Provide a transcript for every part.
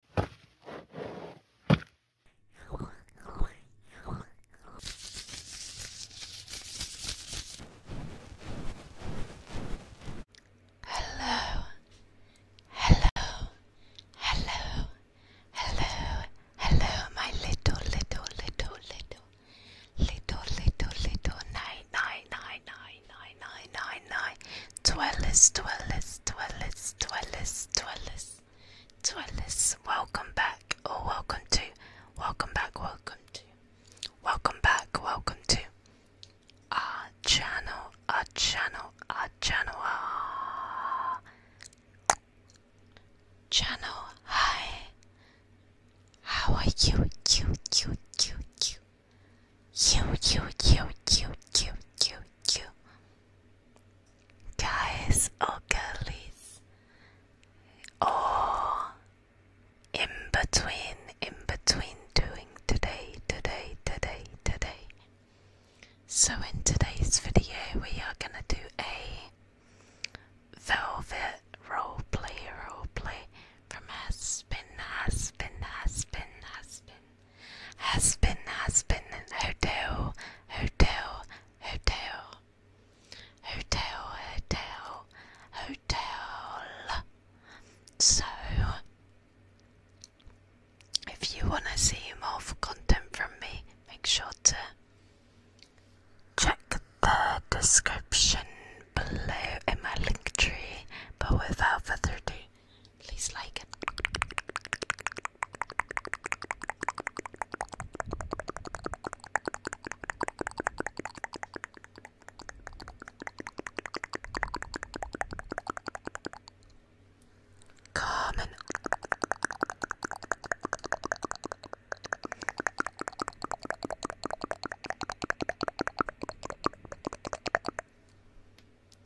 Hello, hello, hello, hello, hello, my little, little, little, little, little, little, little, nine, nine, nine, nine, nine, nine, nine, nine, Dwellis, Dwellis, Dwellis, Dwellis, Dwellis, Dwellis, welcome back, or welcome to, welcome back, welcome to, welcome back, welcome to our channel, our channel, our channel, our channel. Hi, how are you? You, you, you, you. You, you, you, you, you, you, you. Guys or oh girlies. Or in between, in between doing today, today, today, today. So in today's video, we are going to do a velvet roleplay, play from Aspen, Aspen, Aspen, Aspen. Husband, husband, hotel, hotel, hotel. Hotel, hotel, hotel. So, if you want to see more content from me, make sure to check the description below in my link tree. But without further ado, please like it. Carmen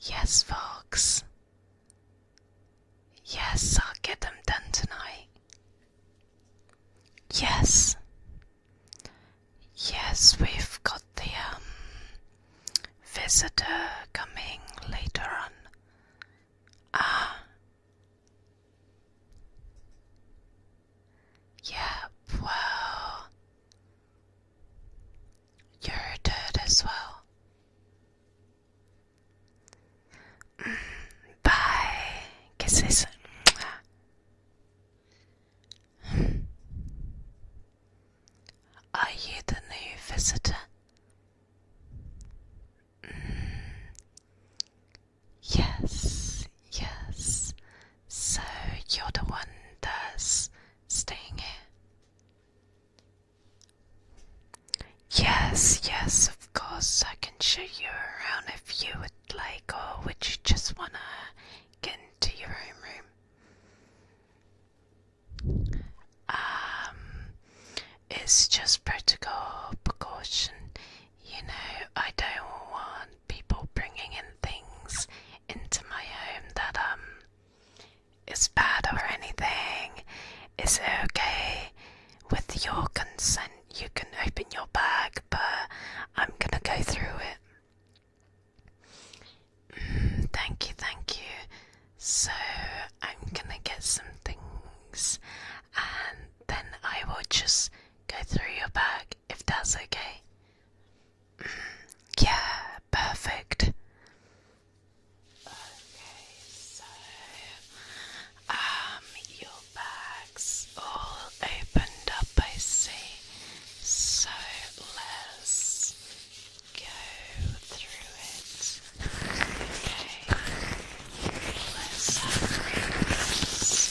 Yes, Fox. Yes, I'll get them done tonight. Yes. Yes, we've got the um, visitor coming later on. Ah. Yeah, well, you're dead as well. Mm, bye. Kisses. Are you the new visitor? Mm, yes, yes, so you're the one that's staying here? Yes, yes, of course. I can show you around if you would like, or would you just wanna get into your own room? Um, it's just protocol precaution. You know, I don't want people bringing in things into my home that um is bad or anything. Is okay? With your consent, you can open your bag, but I'm gonna go through it. Mm, thank you, thank you. So, I'm gonna get some things and then I will just go through your bag if that's okay. Mm, yeah, perfect. Okay, so um your bag's all opened up I see. So let's go through it. Okay.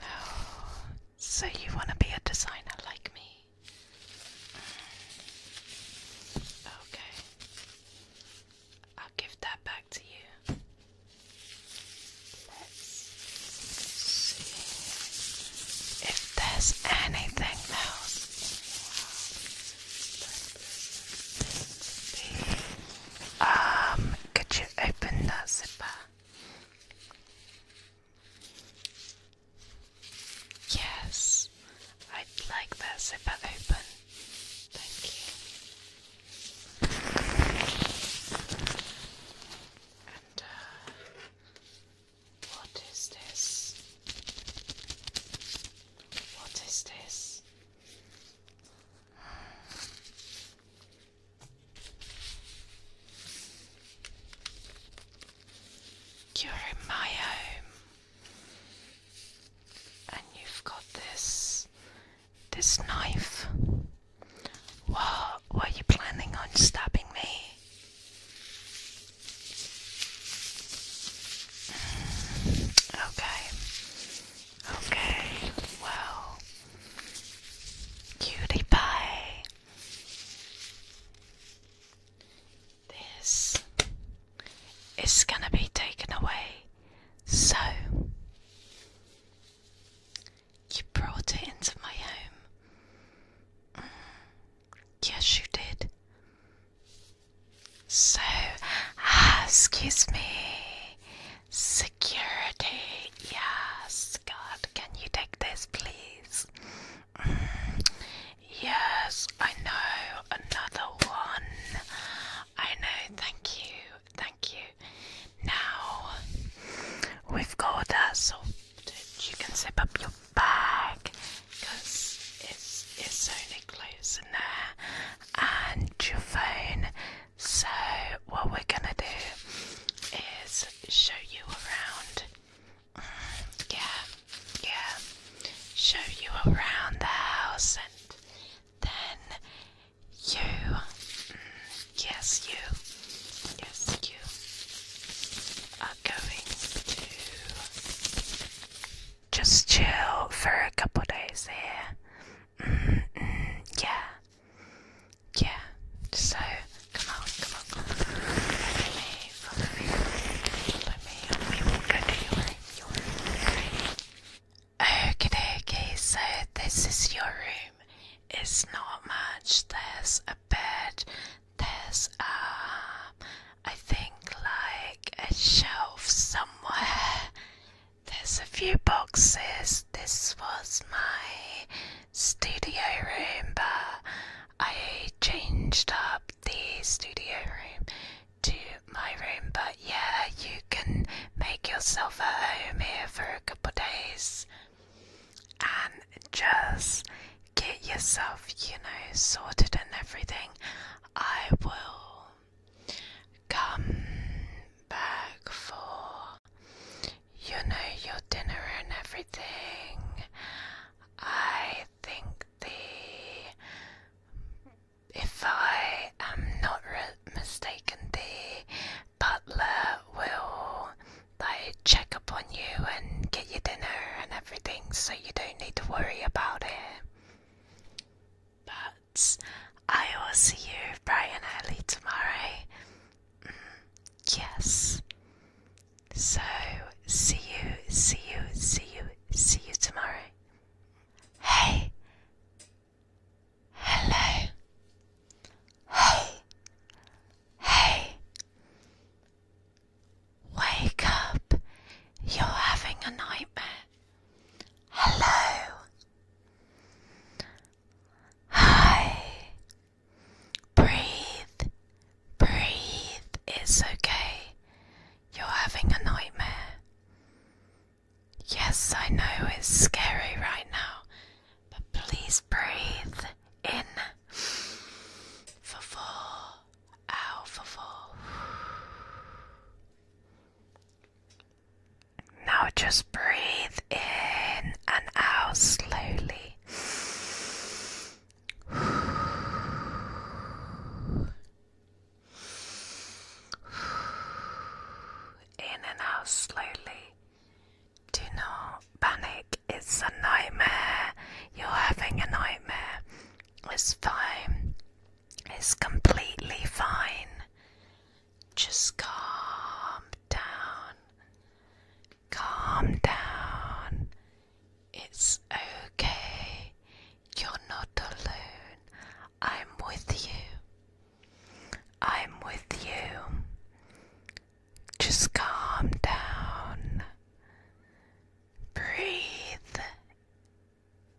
Oh, so you want to be a designer like me? Okay. I'll give that back to you. Let's see if there's anything else. Um, could you open that zipper? Yes, I'd like that zipper open. Thank you. And uh, what is this? What is this? You're in my home, and you've got this this knife. What were you planning on stabbing me? Okay. Okay. Well, cutie pie. This is going to be taken away. So, you brought it into my home. Mm. yes, you did. So, ah, excuse me. Security, yes. God, can you take this, please? Mm, yes, I know. Another one. I know. Thank you. Thank you. Now, we've got us. Uh, so you can zip up your bag because it's, it's only clothes in there and your phone. So, what we're gonna do is show you around. yeah, yeah, show you around the house and then you. Mm, yes, you. Yes, you just chill for a couple days here. Mm-hmm. yeah. Yeah. So come on, come on, come on. Follow me, follow me. Follow me. We will go to your room, your room. Okay, okay, so this is your room. It's not much. There's a bed, there's um, I think like a shelf somewhere. There's a few boxes. This was my studio room, but I changed up the studio room to my room. But yeah, you can make yourself at home here for a couple of days and just get yourself, you know, sorted and everything, I will come back for, you know, your dinner and everything. I think the, if I am not mistaken, the butler will they check up on you and get your dinner and everything so you don't need to worry about it. But I will see you bright and early tomorrow. Mm, yes. So see you, see you, see you, see you tomorrow. Hey. Hello. Hey. Hey. Wake up! You're having a nightmare. Hello! Hi! Breathe. Breathe. It's okay. You're having a nightmare. Yes, I know it's scary right now, but please breathe in for four, out for four. Now just breathe in and out slowly. In and out slowly. Do not panic, it's a nightmare. You're having a nightmare. It's fine. It's completely fine. Just calm down. Calm down. It's okay. You're not alone. I'm with you. I'm with you. Just calm down. Breathe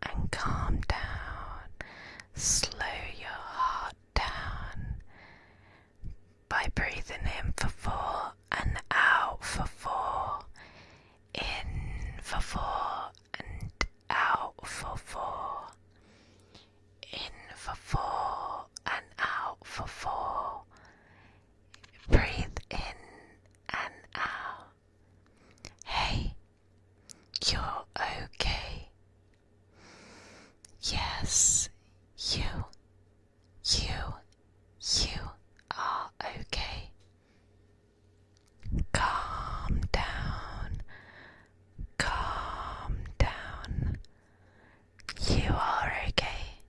and calm down. Slow your heart down by breathing in for four and out for four. In for four and out for four. In for four and out for four. Breathe in and out. Hey, you're okay. Yes, you, you, you are okay. Calm down, calm down. You are okay.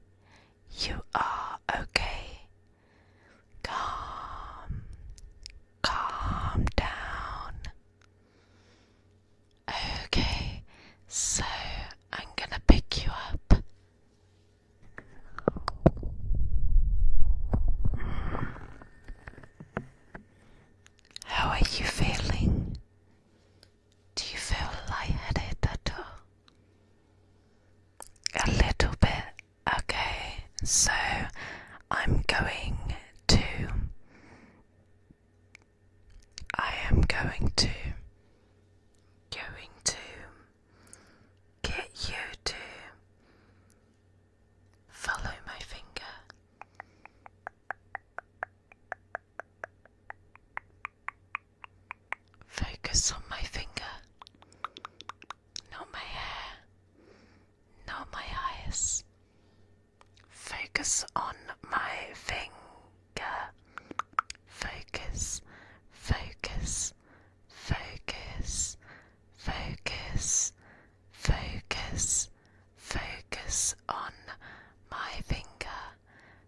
You are okay. Calm. Calm down. Okay, so I'm gonna pick you up. How are you feeling? Do you feel light-headed at all? A little bit. Okay, so I'm going to. I am going to. Going to. Get you to. Follow my finger. Focus on my finger, not my hair, not my eyes. Focus on my finger. Focus, focus, focus, focus, focus, focus on my finger.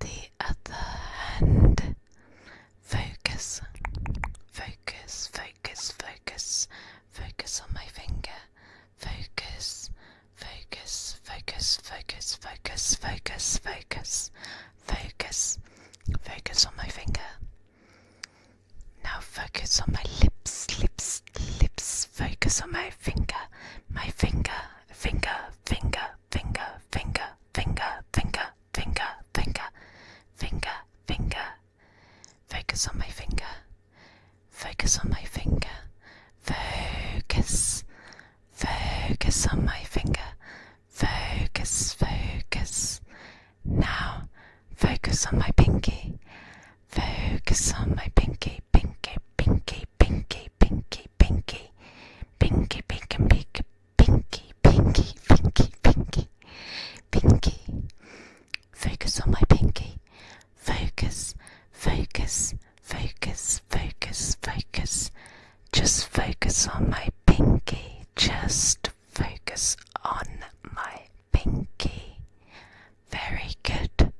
the other hand. Focus, focus, focus, focus, focus on my finger. Focus, focus, focus, focus, focus, focus, focus, focus, focus on my finger. Now focus on my lips, lips, lips, focus on my finger, my finger, finger, finger, finger, finger, finger, finger, finger, finger, finger, finger. Focus on my finger. Focus on my finger. Focus. Focus on my finger. Focus, focus. Now, focus on my pinky. Focus on my pinky, pinky, pinky, pinky, pinky, pinky, pinky, pinky, pinky, Pinky, pinky, pinky, pinky, pinky. Focus on my pinky. Focus, focus, focus, focus, focus. Just focus on my pinky. Just focus on my pinky. Very good.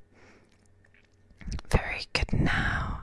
Very good now.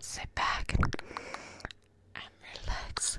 Sit back and relax.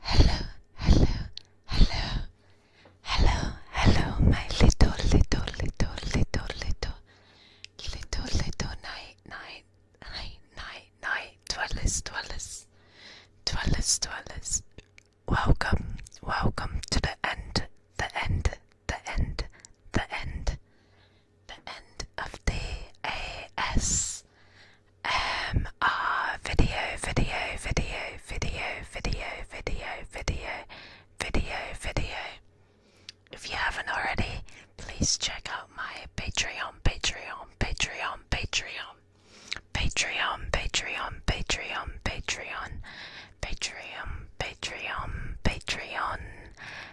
Hello, hello, hello, hello, hello, my little, little, little, little, little, little, little night, night, night, night, night, dwellers, dwellers, dwellers, dwellers. Welcome, welcome to the end, the end, the end, the end, the end of the ASMR video, video, video, video, video, video, video, video, video. If you haven't already, please check out my Patreon, Patreon, Patreon, Patreon. Patreon, Patreon, Patreon, Patreon, Patreon, Patreon, Patreon,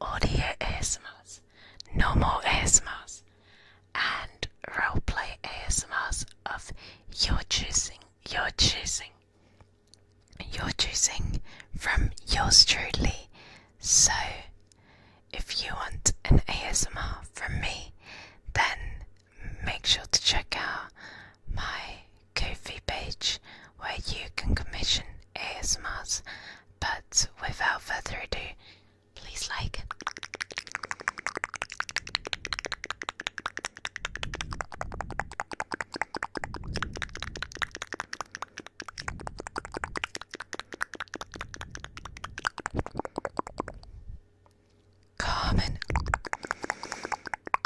audio ASMRs, normal ASMRs, and roleplay ASMRs of your choosing, your choosing, your choosing from yours truly. So, if you want an ASMR from me, then make sure to check out my ko page where you can commission AS ASMRs. But without further ado, please like. Carmen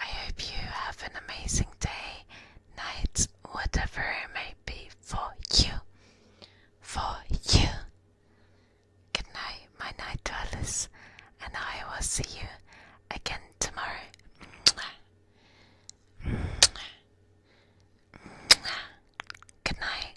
I hope you have an amazing day, night, whatever it may be for you. For you. Good night, my night dwellers, and I will see you again tomorrow. Good night.